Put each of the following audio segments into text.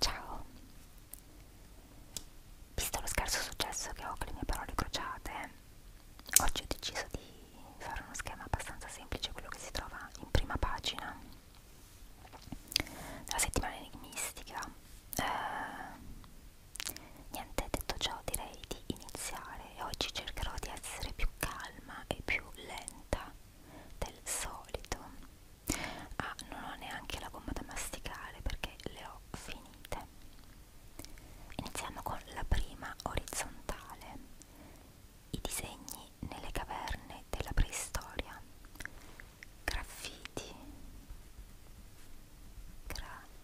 Ciao! Visto lo scarso successo che ho con le mie parole crociate, oggi ho deciso di fare uno schema abbastanza semplice, quello che si trova in prima pagina della settimana enigmistica. Eh, niente, detto ciò direi di iniziare e oggi cercherò di essere più calma e più lenta del solito Ah, non ho neanche la gomma da masticare perché le ho finite. Iniziamo con la prima orizzontale, i disegni nelle caverne della preistoria, graffiti, graffiti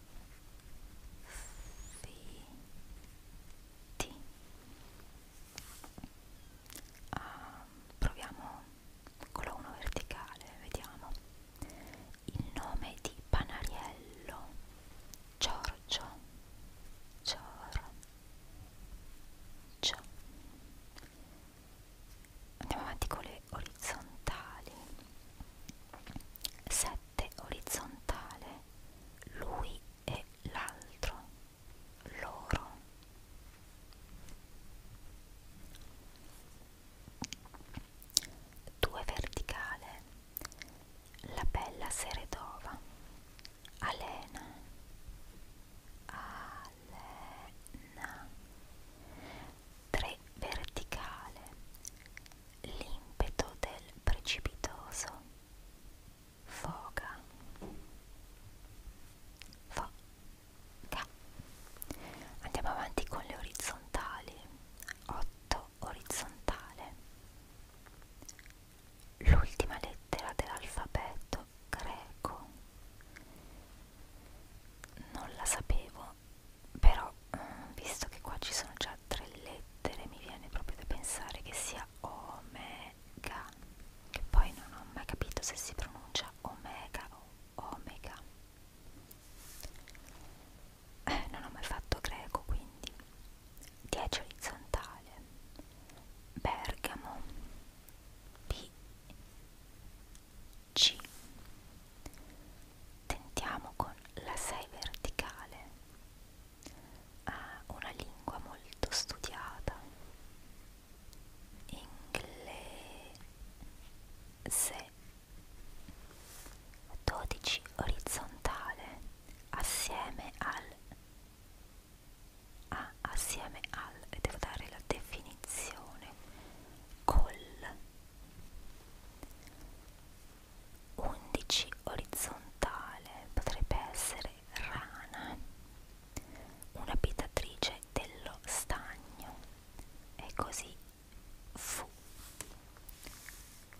uh, proviamo con la 1 verticale vediamo il nome di Panariello Giorgio Giorgio andiamo avanti con le orizzontali 7 orizzontale lui e l'altro loro due verticale la bella seredova Alena Alena tre verticale l'impeto del precipitoso foga foga da. andiamo avanti con le orizzontali 8 orizzontale l'ultima lettera dell'alfabeto greco non la sapevo però eh, visto che qua ci sono già tre lettere mi viene proprio da pensare che sia Ome Omega che poi non ho mai capito se si pronuncia Omega o Omega eh, non ho mai fatto greco quindi 10 orizzontale Bergamo P C tentiamo con la 6 verticale ah, una lingua molto studiata inglese 12 orizzontale assieme al a ah, assieme al e devo dare la definizione col 11 orizzontale potrebbe essere rana, un'abitatrice dello stagno, e così fu.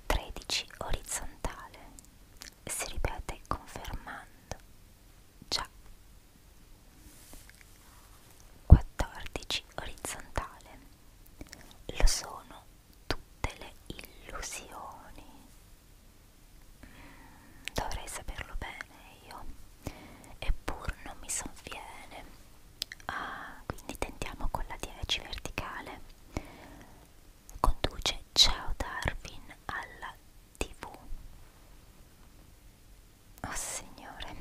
13 orizzontale, si ripete confermando, già. 14 orizzontale, lo sono tutte le illusioni Dovrei saperlo bene io, eppur non mi sovviene. Ah, quindi tentiamo con la 10 verticale. Conduce Ciao Darwin alla TV. Oh signore,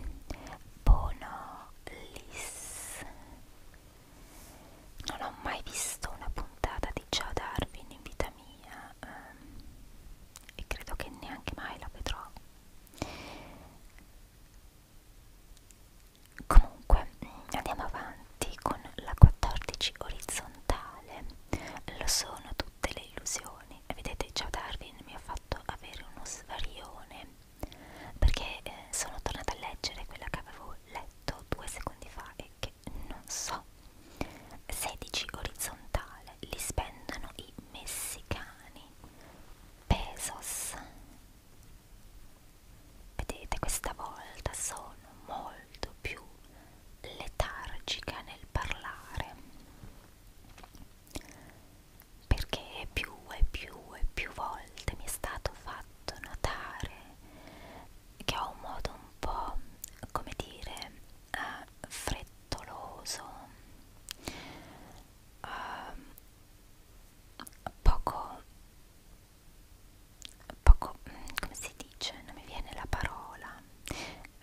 Bono Liss. Non ho mai visto una puntata di Ciao Darwin in vita mia ehm, e credo che neanche mai la vedrò comunque andiamo avanti con la 14 orizzontale lo sono tutte le illusioni vedete già Darwin mi ha fatto avere uno svarione perché eh, sono tornata a leggere quella che avevo letto due secondi fa e che non so 16 orizzontale li spendono i messicani pesos vedete questa volta sono molto più letargica nel parlare perché più e più e più volte mi è stato fatto notare che ho un modo un po' come dire eh, frettoloso frettoloso, uh, ehm, poco, poco, mm, come si dice, non mi viene la parola,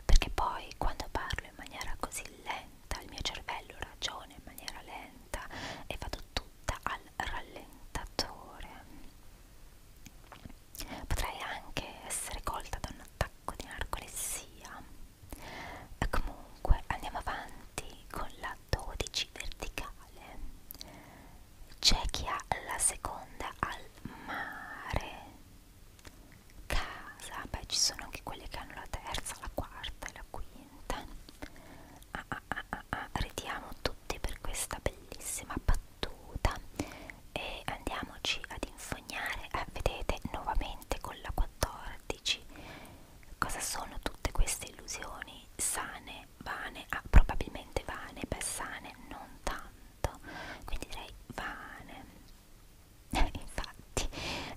perché poi quando parlo in maniera così lenta, il mio cervello ragiona in maniera lenta e vado tutta al rallentatore. Potrei anche essere colta da un attacco sacco di narcolessia e comunque andiamo avanti con la 12 verticale c'è chi ha la seconda al mare casa beh ci sono anche quelle che hanno la terza la quarta e la quinta ah, ah, ah, ah, ah. ridiamo tutti per questa bellissima battuta e andiamoci ad infognare eh, vedete nuovamente con la 14 cosa sono tutte queste illusioni sane vane ah, probabilmente vane beh sane non tanto quindi direi vane infatti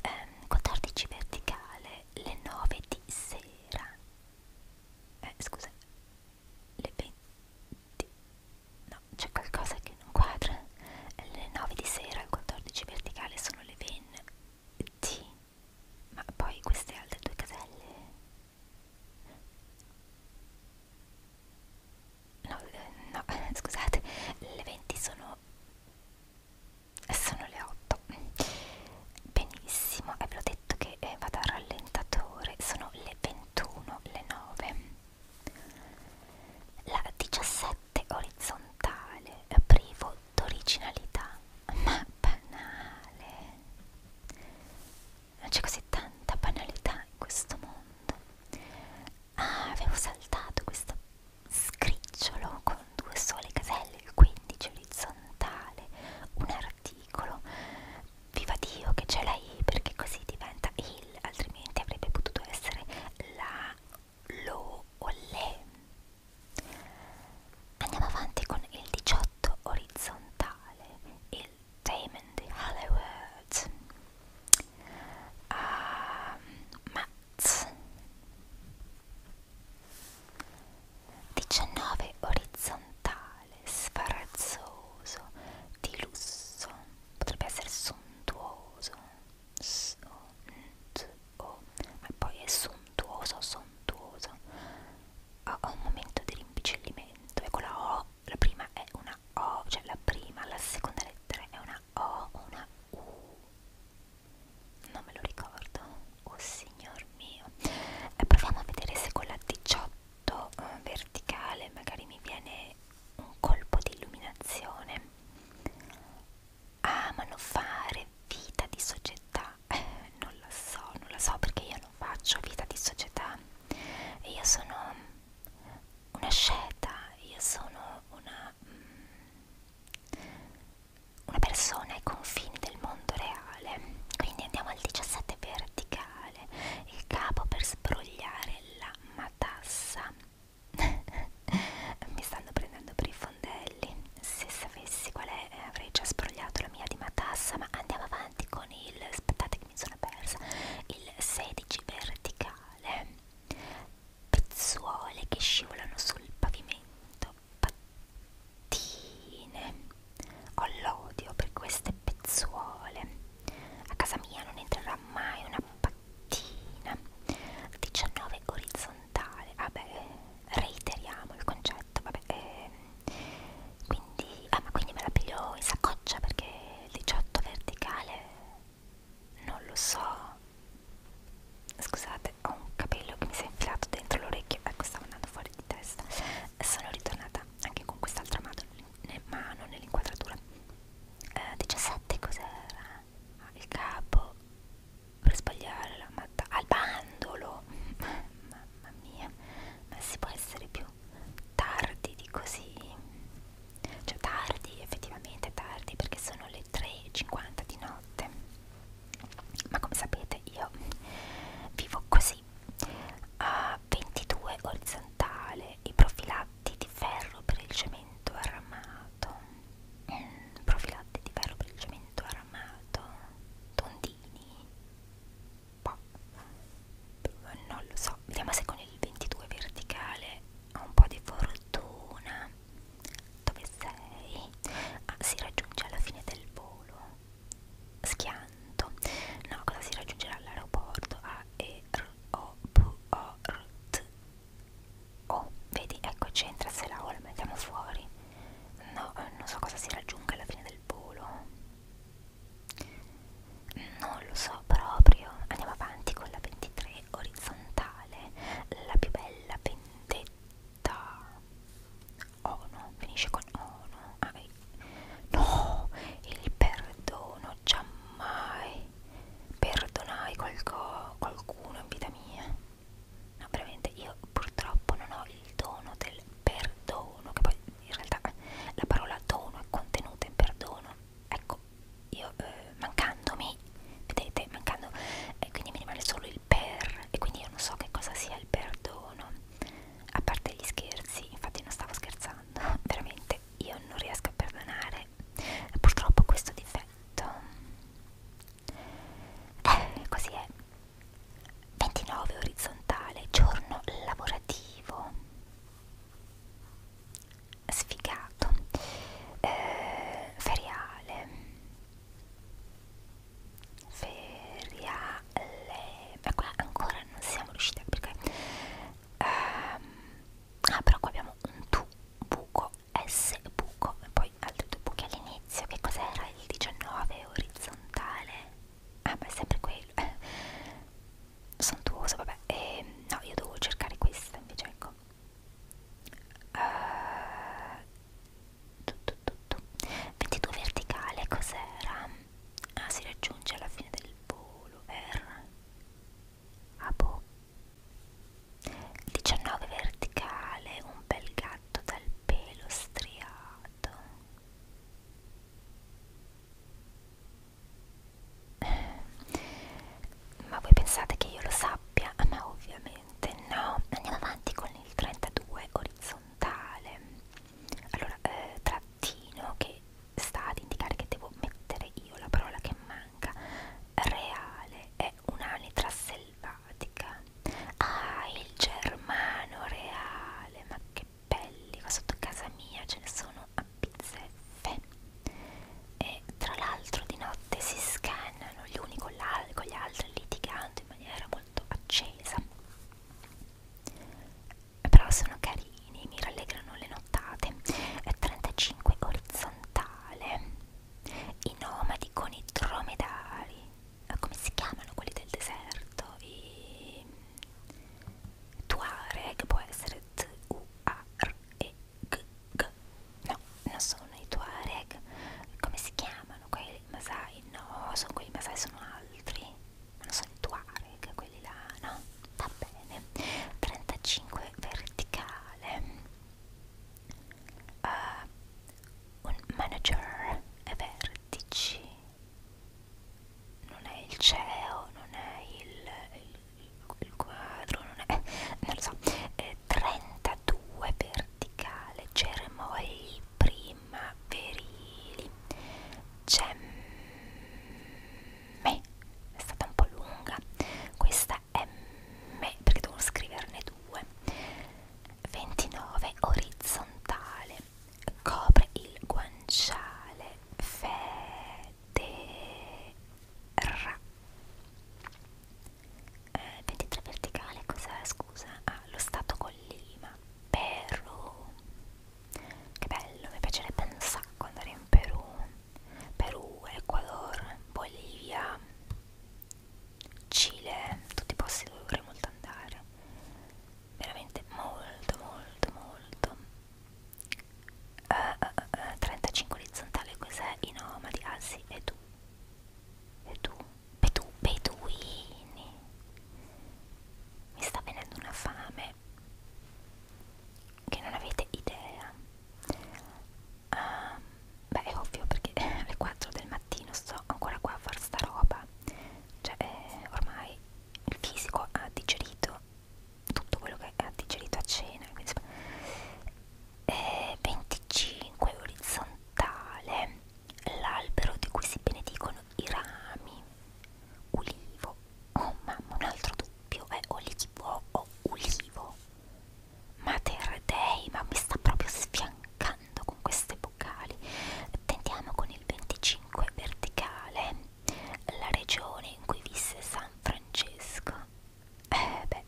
ehm, 14 verticale le 9 di sera eh, scusa le 20 No, c'è qualcosa che non quadra. Alle 9 di sera, al 14 verticale, sono le venne. Sì, ma poi queste altre due caselle. No, eh, no, scusate, le 20 sono. sono le 8. Benissimo, e ve l'ho detto che eh, vado al rallentatore, sono le 21, le 9. La 17 piatte, orizzontale, privo d'originalità, ma banale. C'è così tanta banalità in questo mondo. Ah, avevo saltato questo scricciolo con due sole caselle, il 15 orizzontale, un articolo. Viva Dio che c'è la I perché così diventa il, altrimenti avrebbe potuto essere la sarà lo o le. Andiamo avanti con il 18 orizzontale, il Damon di Hollywood. Uh, Mats. 19 orizzontale, sfarazzoso, di lusso, potrebbe essere sontuoso. S-O-N-T-O oh. e poi è sontuoso, sontuoso ha un momento di rimpicellimento ecco la O, la prima è una O cioè la prima, la seconda lettera è una O o una U non me lo ricordo oh signor mio e proviamo a vedere se con la 18 eh, verticale magari mi viene un colpo di illuminazione. Amano fare vita di società. Eh, non la so, non la so perché io non faccio vita di società. Io sono una scelta, io sono una, mm, una persona ai confini del mondo reale. Quindi andiamo al 17 verticale, il capo per sbrogliare la matassa Mi stanno prendendo per i fondelli. Se sapessi qual è, eh, avrei già sprogliato la mia di matassa. Ma andiamo avanti con il. Aspettate, che mi sono persa. Il 16 verticale. Pezzuole che scivolano sul pavimento. Pattine. Ho l'odio per queste pezzuole. A casa mia non entrerà mai una pacchina mattina 19 orizzontale vabbè reiteriamo il concetto vabbè eh, quindi ah ma quindi me la piglio in saccoccia perché 18 verticale non lo so scusate ho un capello che mi si è infilato dentro l'orecchio ecco stavo andando fuori di testa sono ritornata anche con quest'altra mano nell'inquadratura nel eh, 17 cos'era al capo per sbagliare la matta al bandolo mamma mia ma si può essere più tardi di così cioè tardi effettivamente tardi perché sono le 3.50 di notte ma come sapete io vivo così a 22 orizzontale i profilati di ferro per il cemento armato armato, mm, profilati di velo per il cemento armato, tondini, boh, non lo so, vediamo se con il 22 verticale ho un po' di fortuna, dove sei? Ah, si raggiunge alla fine del volo, schianto, no, cosa si raggiungerà all'aeroporto? A, E, R, O, P, O, R, T, Oh, vedi, ecco c'entra se la o la mettiamo fuori. No, eh, non so cosa si raggiunga alla fine del volo. Non lo so proprio. Andiamo avanti con la 23 orizzontale, la più bella vendetta. Oh no, finisce con oh no. Ah, no, il perdono giammai perdonai qualco, qualcuno in vita mia no veramente io purtroppo non ho il dono del perdono che poi in realtà la parola dono è contenuta in perdono ecco io eh, mancandomi vedete mancando eh, quindi mi rimane solo il per e quindi io non so che cosa sia il perdono a parte gli scherzi infatti non stavo scherzando veramente io non riesco a perdonare avere purtroppo questo difetto eh, così è 29 orizzontale giorno lavorativo sfigato eh, feriale feriale ma qua ancora non siamo riusciti a perché ehm, ah però qua abbiamo un tu buco buco S buco e poi altri due buchi all'inizio che cos'era il 19 orizzontale ah ma è sempre quello eh. sontuoso vabbè e, ehm, no io devo cercare questa invece ecco uh, tu, tu, tu, tu. 22 verticale cos'era ah si raggiunge alla fine del volo R a ah, bocca 19 verticale, un bel gatto dal pelo striato. Ma voi pensate che io lo sappia? Ma ah, ovviamente no. Andiamo avanti con il 32 orizzontale. Allora, eh, trattino che sta ad indicare che devo mettere io la parola che manca reale è un'anitra selvatica. Ah, il germano reale, ma che belli, qua sotto casa mia ce ne sono a pizzeffe. E tra l'altro di notte si scannano gli uni con, con gli altri litigando in maniera molto accesa. Però sono carini, mi rallegrano le nottate. È 35 orizzontale orientale, i nomadi con i dromedari, come si chiamano quelli del deserto? I Tuare, che può essere T-U-A-R-E-G, -g. no, non sono i Tuareg, come si chiamano quelli Masai? No, sono quelli Masai, sono altri, ma non sono i Tuareg, quelli là, no? Va bene, 35 verticale uh, un manager ai vertici non è il CEO non è il, il, il quadro non è eh, non lo so eh, 32 verticale germogli prima verili gemme è stata un po' lunga questa M perché devo scriverne due 29 orizzontale copre il guanciale federra eh, 23 verticale cos'è scusa? Ah, lo stato collima Perù che bello mi piacerebbe un sacco andare in Perù Perù, Ecuador, Bolivia, Cile, tutti i posti dove vorrei molto andare. Veramente molto, molto, molto. Uh, eh, uh, eh, uh, eh, 35 orizzontale, cos'è? I nomadi, ah sì, e tu. E tu? Bedu, beduini. Mi sta venendo una fame che non avete idea um, beh è ovvio perché alle 4 del mattino sto ancora qua a fare sta roba cioè eh, ormai il fisico ha digerito tutto quello che ha digerito a cena quindi, eh, 25 orizzontale l'albero di cui si benedicono i rami ulivo oh mamma un altro dubbio è eh, o l'olivo o ulivo Mater Dei, ma mi sta proprio sfiancando con queste vocali. Tentiamo con il 25 verticale, la regione in cui visse San Francesco. Eh beh,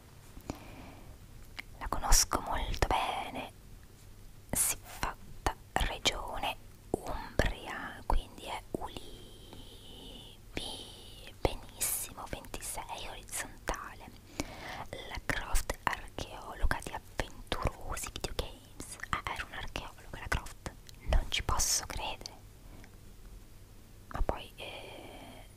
la conosco molto bene. Si fatta regione Umbria, quindi è Ulivi, benissimo 26 orizzontale la Croft archeologa di avventurosi videogames ah, era un archeologo la Croft non ci posso credere ma poi eh,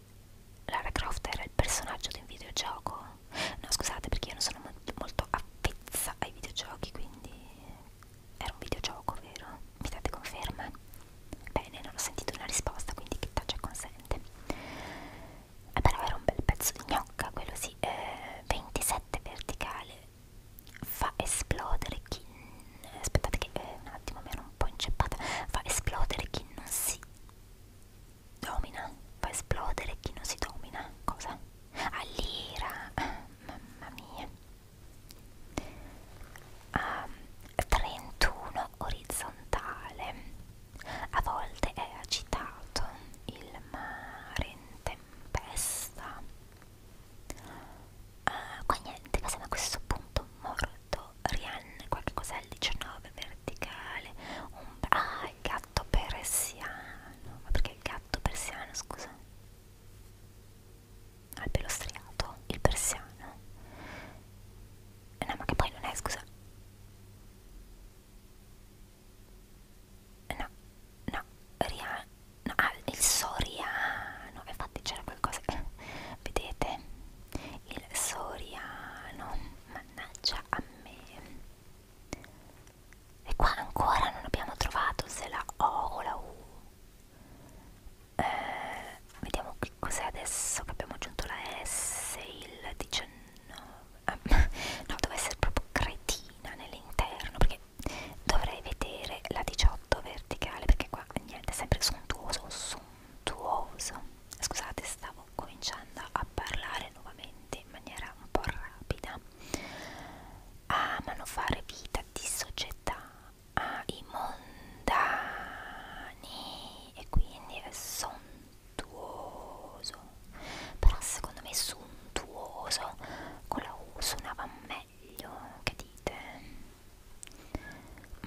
Lara Croft era il personaggio di un videogioco no scusate perché io non sono molto, molto avvezza ai videogiochi quindi era un videogioco vero? mi date conferma? Bene, non ho sentito una risposta, quindi chi tace consente. Eh, però era un bel pezzo di gnocca, quello sì, eh, 27 verticale, fa esplodere chi... aspettate che eh, un attimo mi ero un po' inceppata, fa esplodere chi non si domina, fa esplodere chi non si domina, cosa? All'ira, ah, mamma mia a ehm, 31 orizzontale a volte è agitato il mare in tempesta uh, qua niente ma siamo a questo punto morto Rianne qualche cos'è il 19 verticale un, ah il gatto persiano ma perché il gatto persiano scusa al pelo striato il persiano No, ma che poi non è, scusa. No, no, Riano. No, ah, il Soriano. Infatti c'era qualcosa. Vedete? Il Soriano. Mannaggia a me. E qua ancora non abbiamo trovato se la O o la U eh, vediamo che cos'è adesso che abbiamo aggiunto la S il 19 ah, no deve essere proprio cretina nell'interno perché dovrei vedere la 18 verticale perché qua niente è sempre sontuoso sontuoso scusate stavo cominciando a parlare nuovamente in maniera un po' rapida amano ah, fare vita di società ai mondani e quindi è sontuoso però secondo me suntuoso con la U suonava meglio che dite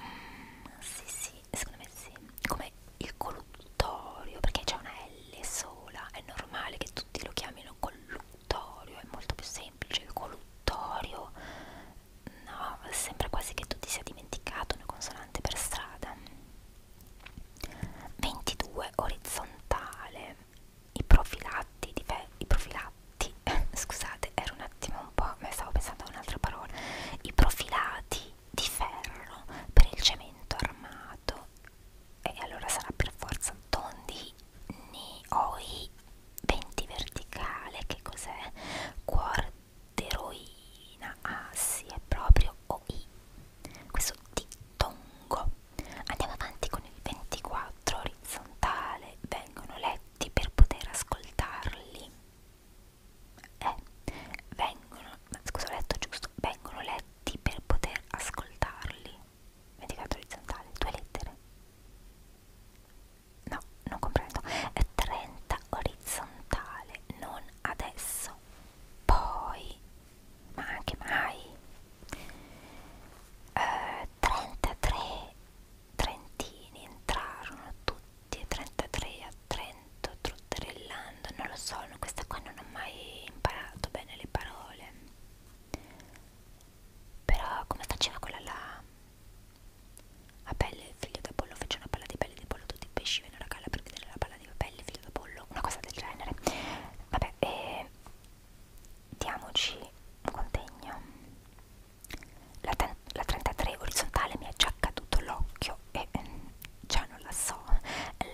mm, sì sì secondo me sì come il colluttorio perché c'è una L sola è normale che tutti lo chiamino colluttorio è molto più semplice il colluttorio no, sembra quasi che tu ti sia dimenticato una consonante per strada. 22 orizzontale. I profilatti, i profilatti, scusate, era un attimo un po', ma stavo pensando a un'altra parola. I profilati di ferro per il cemento armato. E allora sarà per forza tondi ni oi 20 verticale, che cos'è? Cuore d'eroina, ah sì, è proprio OI, questo dittongo. Andiamo avanti con il 24 orizzontale, vengono letti per poter ascoltarli. Eh, vengono, scusa ho letto giusto, vengono letti per poter ascoltarli. 24 orizzontale, due lettere no, non comprendo, è 30 orizzontale, non adesso, poi, ma anche mai, eh, 33 trentini entrarono tutti, 33 a Trento, trotterellando, non lo so, questa qua non ho mai imparato bene le parole. Però come faceva quella là? A pelle, figlio da pollo, fece una palla di pelle di pollo, tutti i pesci vennero a galla per chiedere la palla di pelle, figlio da pollo, una cosa del genere. Vabbè, e diamoci un contegno. La, la 33 orizzontale mi è già caduto l'occhio e mm, già non la so.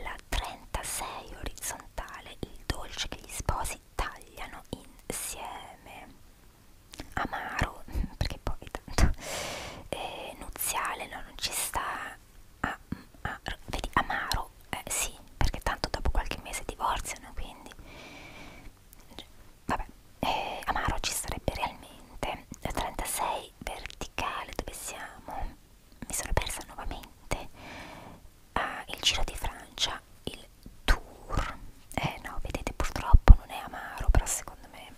La 36 orizzontale, il dolce che gli sposi tagliano insieme amaro perché poi tanto eh, nuziale no, non ci sta ah, ah, vedi amaro eh, sì perché tanto dopo qualche mese divorziano quindi vabbè eh, amaro ci sarebbe realmente 36 verticale dove siamo mi sono persa nuovamente ah, il giro di Francia il tour eh no vedete purtroppo non è amaro però secondo me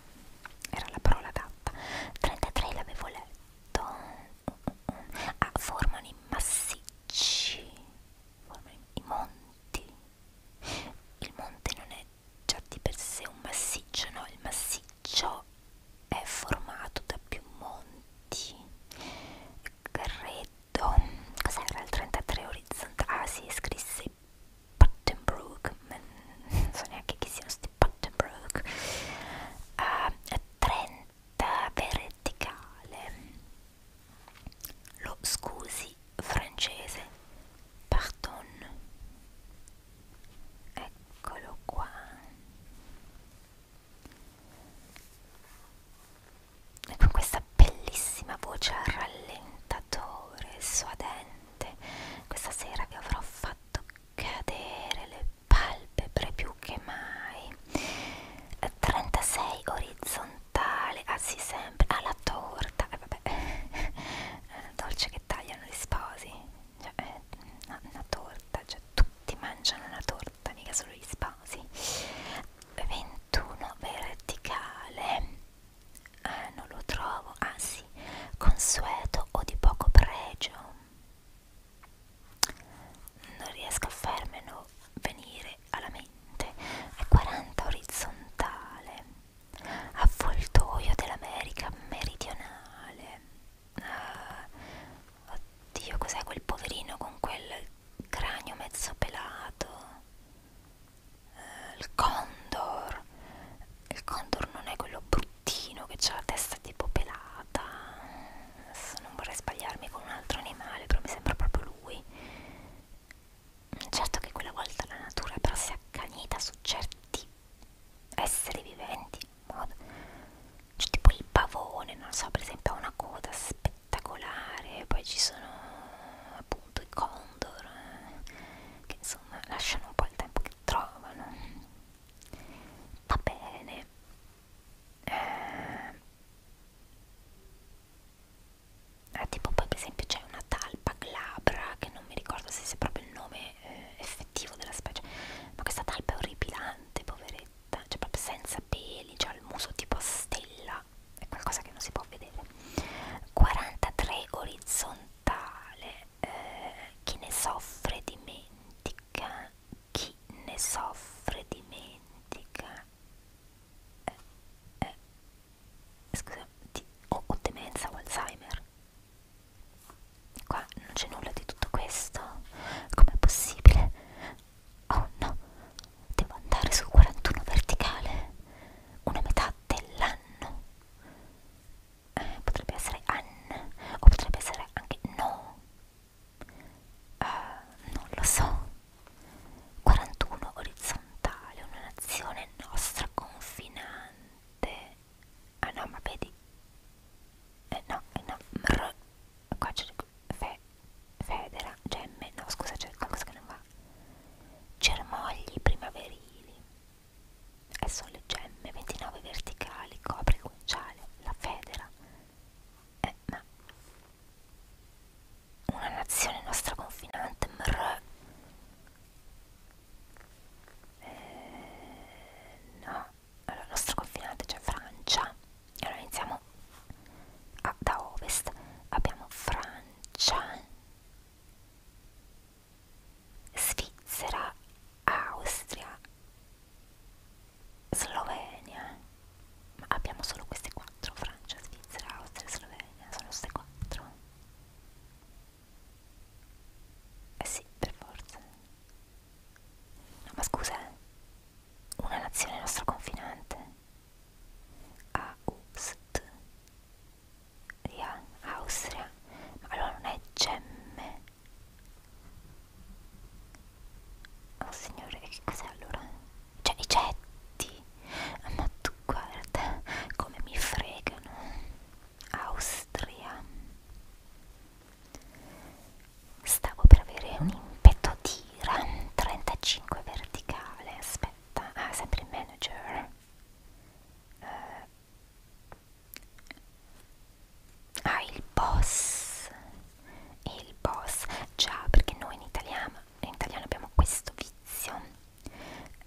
era la parola adatta 33 l'avevo letto ah, formano i massicci formano i monti il monte non è già di per sé un massiccio no, il massiccio è formato da più monti credo cos'era il 33 orizzontale? ah si sì, scrisse Buttonbrook, non so neanche chi siano sti Buttonbrook, a eh, 30 verticale, lo scusi francese, pardon, eccolo qua. E con questa bellissima voce a rallentatore, suadente notte questa sera vi avrò fatto cadere le palpebre più che mai 36 orizzontale ah sì sempre alla torta eh, vabbè eh, dolce che tagliano gli sposi cioè, eh, una, una torta cioè tutti mangiano una torta mica solo gli sposi 21 verticale eh, non lo trovo, anzi, ah, sì, consueto o di poco pregio. Non riesco a farmelo venire alla mente. È 40 orizzontale, avvoltoio dell'America meridionale. Uh, oddio, cos'è quel poverino con quel cranio mezzo pelato? eh, il condor il condor non è quello bruttino che ha la testa tipo pelata adesso non vorrei sbagliarmi con un altro animale però mi sembra proprio lui certo che quella volta la natura però si è accanita su certi esseri viventi in modo cioè tipo il pavone non so per esempio ha una coda spettacolare poi ci sono appunto i condor eh, che insomma lasciano un po' il tempo che trovano va bene eh, eh, tipo poi per esempio c'è una talpa glabra che non mi ricordo se sia proprio il nome eh, effettivo della specie ma questa talpa è orripilante poveretta cioè proprio senza peli ha cioè il muso tipo a stella è qualcosa che non si può vedere 43 orizzontale eh, chi ne soffre dimentica, chi ne soffre dimentica, eh, eh, scusa, di, o, o demenza o Alzheimer. Qua non c'è nulla di tutto questo, com'è possibile? Oh no, devo andare sul 41 verticale, una metà dell'anno eh, potrebbe essere Anne o potrebbe essere anche no uh, non lo so 41 orizzontale un'azione nostra confinante ah no ma vedi eh no, eh no, mr qua c'è fe, federa, gemme, no scusa c'è qualcosa che non va cermogli primaverili Esso le gemme, 29 verticali, copre il guanciale, la federa. Eh, ma una nazione nostra confinante, mrr. Eh, no, allora il nostro confinante c'è cioè Francia. Allora iniziamo a, da ovest. Abbiamo Francia. Svizzera, Austria, Slovenia. Ma abbiamo solo queste quattro, Francia, Svizzera, Austria, Slovenia, sono queste quattro. Eh sì, per forza. No, ma scusa, eh. una nazione nostra confinante. Aust Via, Austria. Ma allora non è gemme. Oh signore, che cos'è allora? Cioè i getti. Ah, ma tu guarda come mi fregano. Austria. Stavo per avere un impetto di ira. 35 verticale. Aspetta. Ah, sempre il manager. Uh, Ah, il boss. Il boss. Già, perché noi in italiano, in italiano abbiamo questo vizio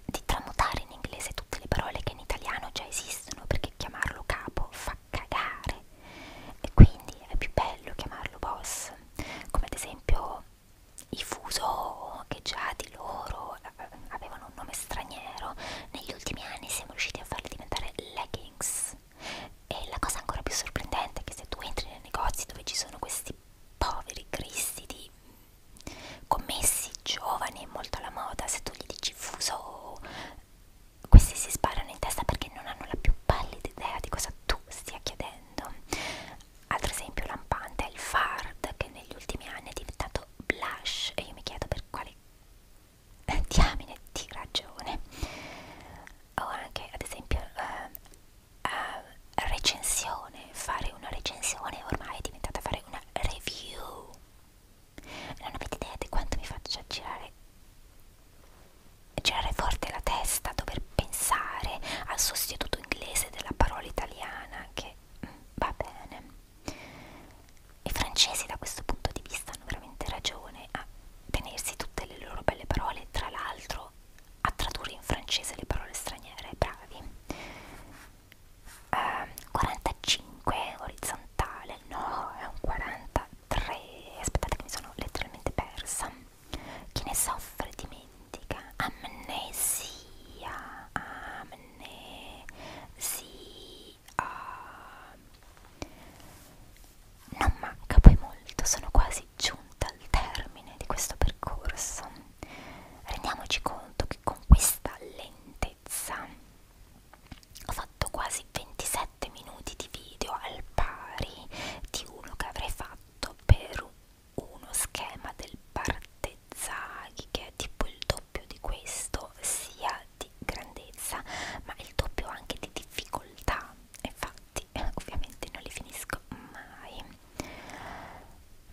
di tramutare in inglese tutte le parole che in italiano già esistono, perché chiamarlo capo fa cagare. E quindi è più bello chiamarlo boss. Come ad esempio i fuso, che già di loro eh, avevano un nome straniero, negli ultimi anni siamo riusciti a farli diventare leggings. E la cosa ancora più sorprendente è che se tu entri nei negozi dove ci sono questi poveri cristi di commessi giovani e molto alla moda, se tu gli dici fuso, questi si sparano in testa perché non hanno la più pallida idea di cosa tu stia chiedendo. Altro esempio lampante è il fard che negli ultimi anni è diventato detto blush e io mi chiedo per quale diamine di ragione o anche ad esempio uh, uh, recensione fare una recensione ormai è diventata fare una review non avete idea di quanto mi faccia girare girare forte la testa dover pensare al sostituto inglese della parola italiana che mm, va bene i francesi da questo punto di vista hanno veramente ragione a tenersi tutte le loro belle parole, tra l'altro a tradurre in francese le parole straniere, bravi. Um, ehm, 45 orizzontale, no, è un 43, aspettate che mi sono letteralmente persa. Chi ne soffre dimentica, amnesia, amnesia donne sia non manca poi molto, sono quasi giunta al termine di questo percorso. Rendiamoci conto che con questa lentezza ho fatto quasi 27 minuti di video al pari di uno che avrei fatto per uno schema del partito zaghi che è tipo il doppio di questo sia di grandezza ma il doppio anche di difficoltà infatti ovviamente non li finisco mai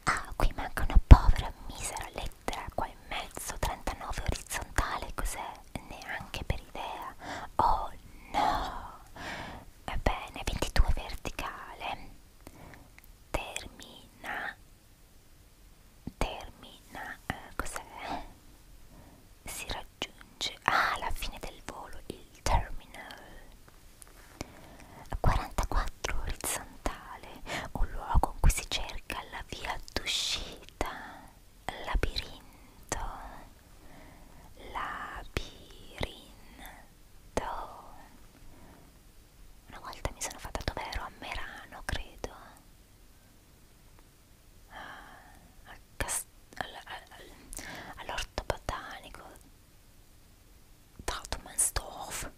ah qui manca una povera misera lettera qua in mezzo 39 orizzontale cos'è neanche per idea oh no bene 22 verticale termina termina eh, cos'è? si raggiunge alla ah, fine del volo il terminal 44 orizzontale un luogo in cui si cerca la via d'uscita labirinto labirinto una volta mi sono fatta dove ero a Merano, credo. Ah, all'orto botanico Trautmannsdorf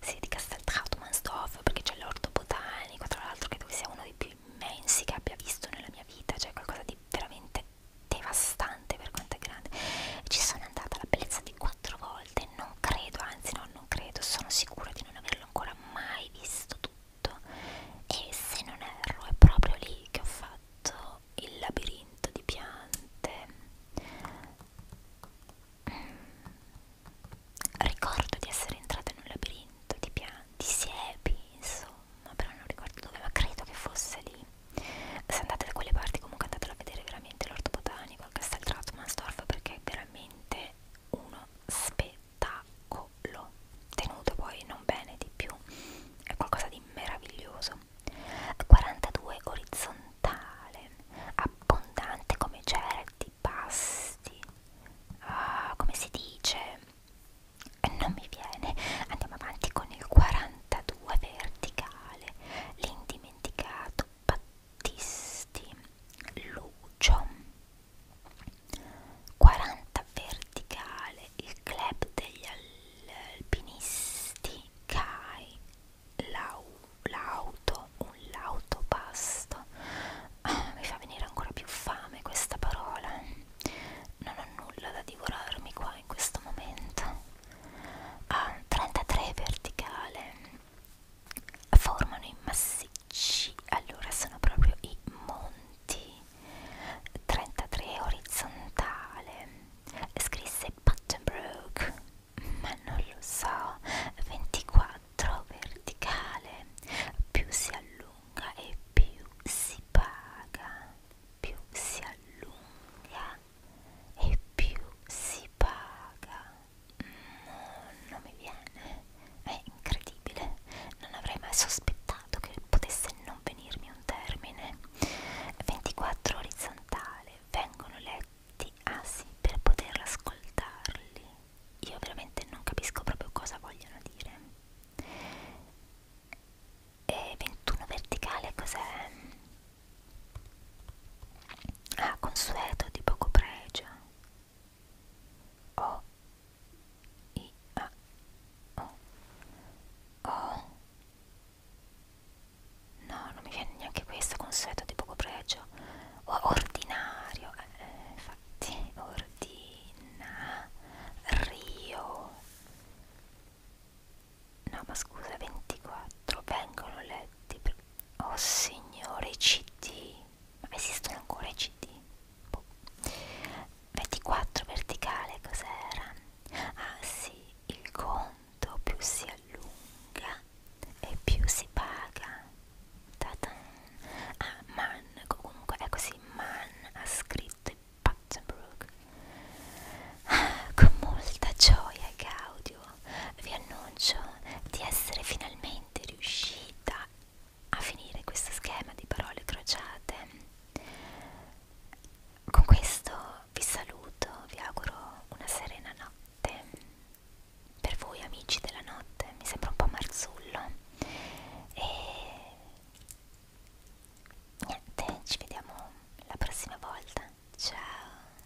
sì, di Castel Trautmannsdorf perché c'è l'orto botanico tra l'altro credo che sia uno dei più immensi che abbia visto nella mia vita cioè qualcosa di veramente devastante per quanto è grande e ci sono andata la bellezza di quattro volte veramente non credo, anzi no, non credo, sono sicura di non averlo ancora mai visto tutto e se non erro è proprio lì che ho fatto il labirinto di piante. Mm. Ricordo di essere entrata in un labirinto di piante, di siepi, insomma, però non ricordo dove, ma credo che fosse lì. Se andate da quelle parti comunque andatelo a vedere veramente l'orto botanico domani col Castel Trautmannsdorf perché è veramente uno spettacolo tenuto poi non bene di più è qualcosa di meraviglioso 42 orizzontale abbondante come certi pasti ah, come si dice non mi viene andiamo avanti con il 42 verticale l'indimenticato Battisti Lucio 40 verticale il club degli alpinisti CAI l'auto un l'autopasto ah, mi fa venire ancora più fame questa parola non ho nulla da divorarmi qua in questo momento ah, 33 verticale formano i massicci, allora sono proprio i monti, 33 orizzontale, scrisse Buttonbrook, ma non lo so, 24 verticale, più si allunga e più si paga, più si allunga e più si paga no, mm, non mi viene, è incredibile, non avrei mai sospettato che potesse non venirmi un termine. 24 orizzontale, vengono letti, ah sì, per poter ascoltarli. Io veramente non capisco proprio cosa vogliono dire. E 21 verticale cos'è? Ah, consueto di poco pregio. O. I. A. O. O. No, non mi viene neanche questo consueto di poco pregio. O ordinario. Eh, eh infatti, ordinario. No, ma scusa, 24 vengono letti per Oh signore i cd, ma esistono ancora i cd? Boh. 24 verticale cos'era? Ah sì, il conto più si allunga e più si paga. Tatan. Ah, man, comunque è così, man ha scritto Pattenbrook. Ah, con molta gioia e gaudio vi annuncio di essere finalmente riuscita a finire questo schema di parole crociate. Con questo vi saluto, vi auguro una serena notte. Per voi amici della notte, mi sembra un po' marzullo. E niente, ci vediamo la prossima volta. Ciao!